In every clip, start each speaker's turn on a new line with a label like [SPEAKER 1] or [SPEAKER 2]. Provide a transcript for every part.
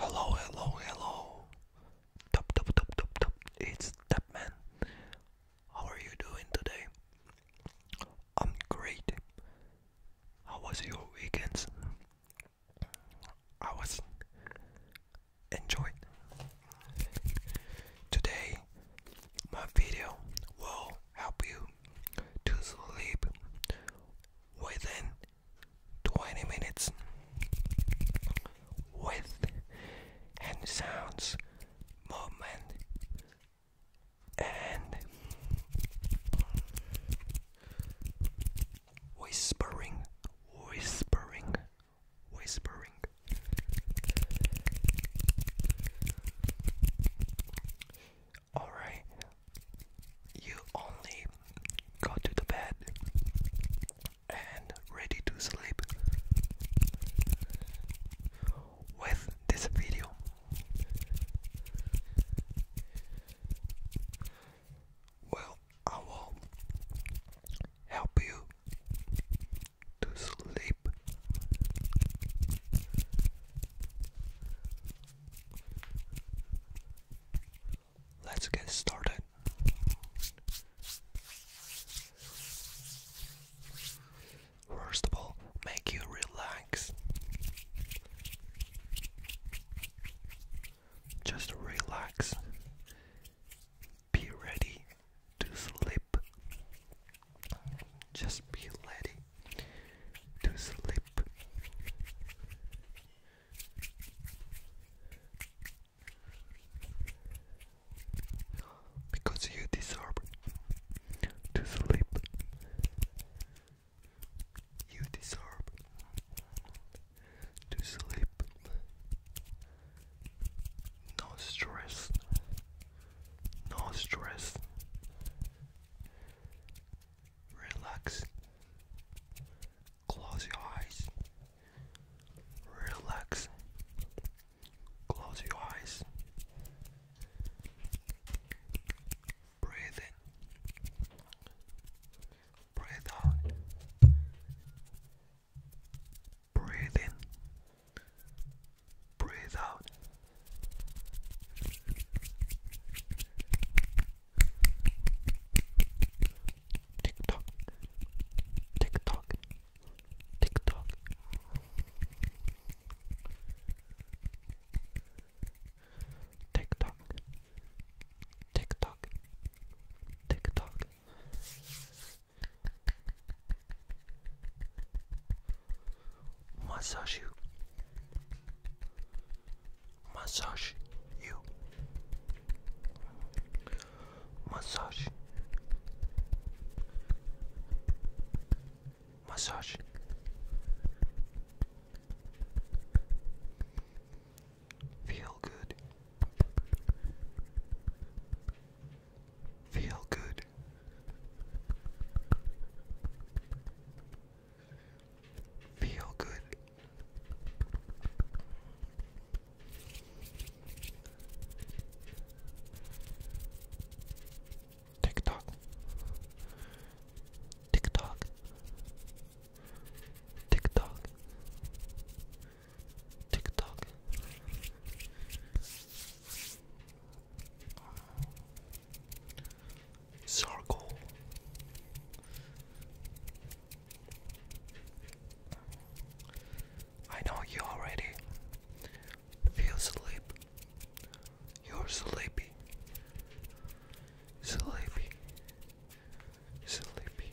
[SPEAKER 1] Hello, hello, hello. Top, top, top, top, top. It's Tapman. How are you doing today? I'm great. How was your weekends? I was enjoy. Today, my video will help you to sleep within 20 minutes with sounds, movement, and whispering, whispering whispering. Alright, you only got to the bed and ready to sleep with this video. Well, I will help you to sleep. Let's get started. First of all, make you relax. Just relax. Be ready to sleep. Just be ready to sleep. Because you deserve to sleep. You deserve to sleep. No stress. No stress. Relax. Close your eyes. Relax. Close your eyes. Breathe in. Breathe out. Breathe in, breathe out. Tick tock, tick tock, tick tock. Tick tock, tick tock, tick tock. Massage you. Massage you. Massage. Massage. Feel good. Feel good. Feel good. Tick tock. Tick TikTok. Circle. I know you already feel sleep. You're sleepy. Sleepy. Sleepy.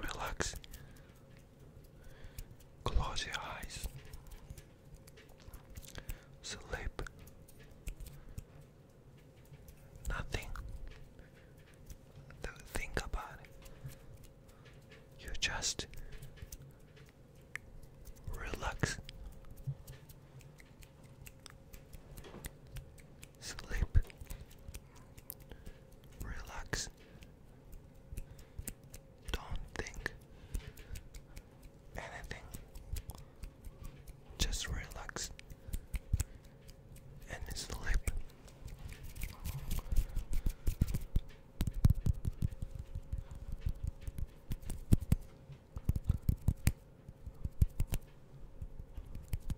[SPEAKER 1] Relax. Close your eyes. Sleep. Nothing to think about. It. You just relax. Sleep. Relax. Don't think anything. Just relax and sleep.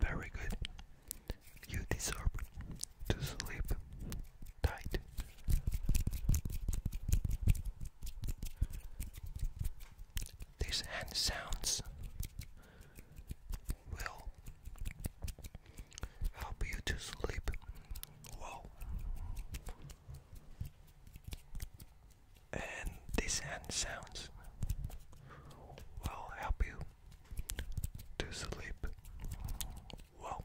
[SPEAKER 1] Very good. You deserve to sleep tight. These hand sounds will help you to sleep well and these hand sounds will help you to sleep well.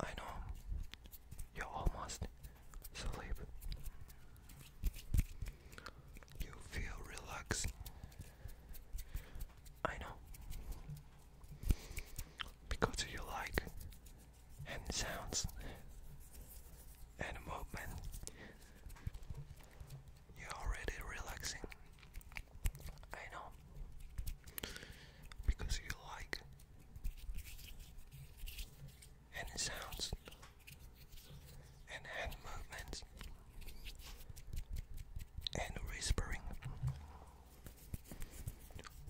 [SPEAKER 1] I know you're almost asleep. You feel relaxed. I know. Because you like hand sounds and movement, you're already relaxing. I know. Because you like and the sounds and hand movements and whispering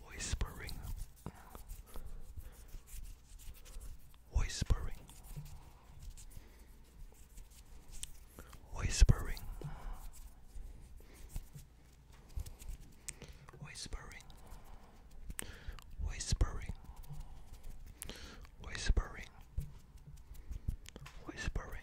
[SPEAKER 1] whispering whispering whispering whispering, whispering, whispering, whispering.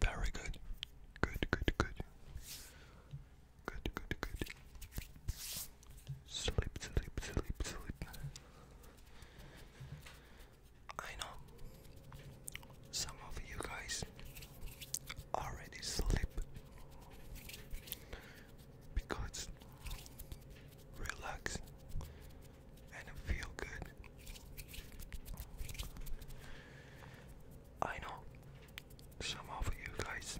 [SPEAKER 1] Very good. Good, good, good. Good, good, good. Sleep, sleep, sleep, sleep. I know some of you guys already sleep because relax and feel good. I know some of you guys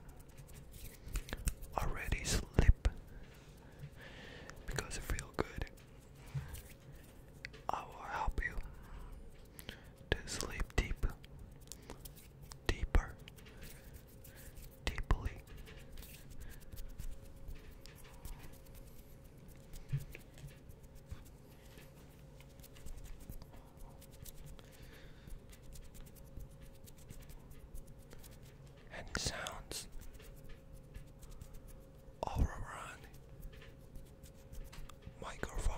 [SPEAKER 1] already sleep because you feel good. I will help you to sleep deep, deeper, deeply. Any sounds? Aura run. Microphone.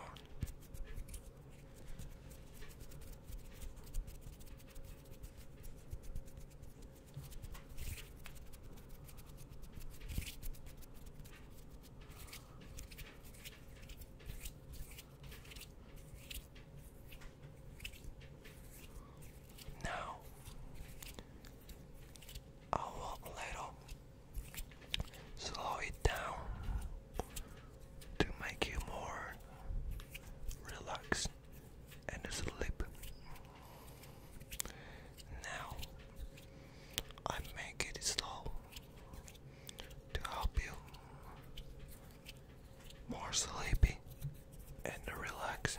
[SPEAKER 1] Now, I will little slow it down to make you more relaxed cheeks and his lip. Now, I make it slow to help you more sleepy and relax.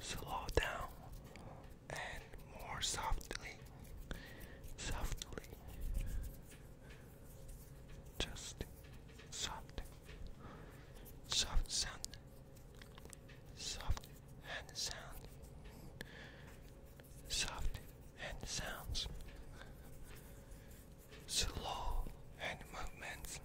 [SPEAKER 1] Slow down and more softly, softly, just soft, soft sound, soft and sound, soft and sounds, slow and movements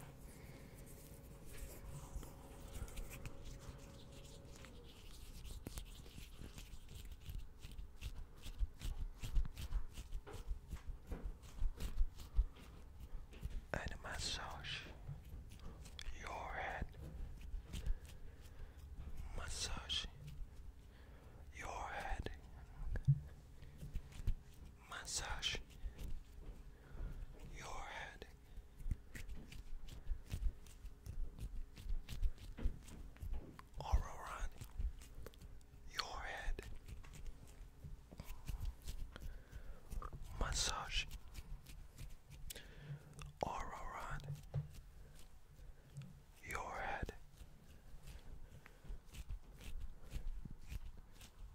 [SPEAKER 1] and massage your head, massage your head, massage your head, Auroran, your head. Massage. Auroran, your head.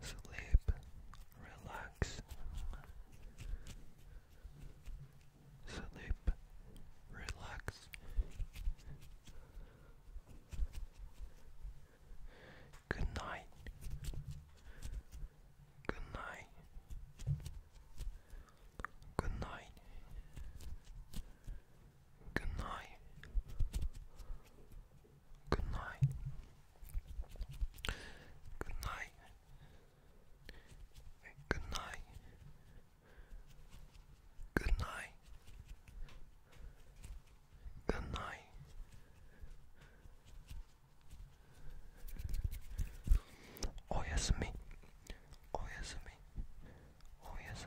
[SPEAKER 1] Sleep, relax, sleep, relax. Good night. Good night. Good night. Good night. Good night. Good night. Good night. Good night. Good night. Oh yes me. Oh yes me. Oh yes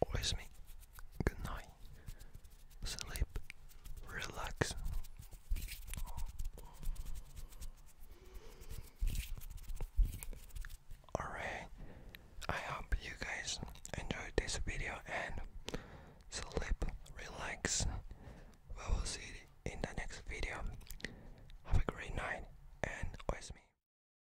[SPEAKER 1] おやすみ Good night Sleep Relax Alright I hope you guys enjoyed this video and sleep relax We will see in the next video Have a great night and always me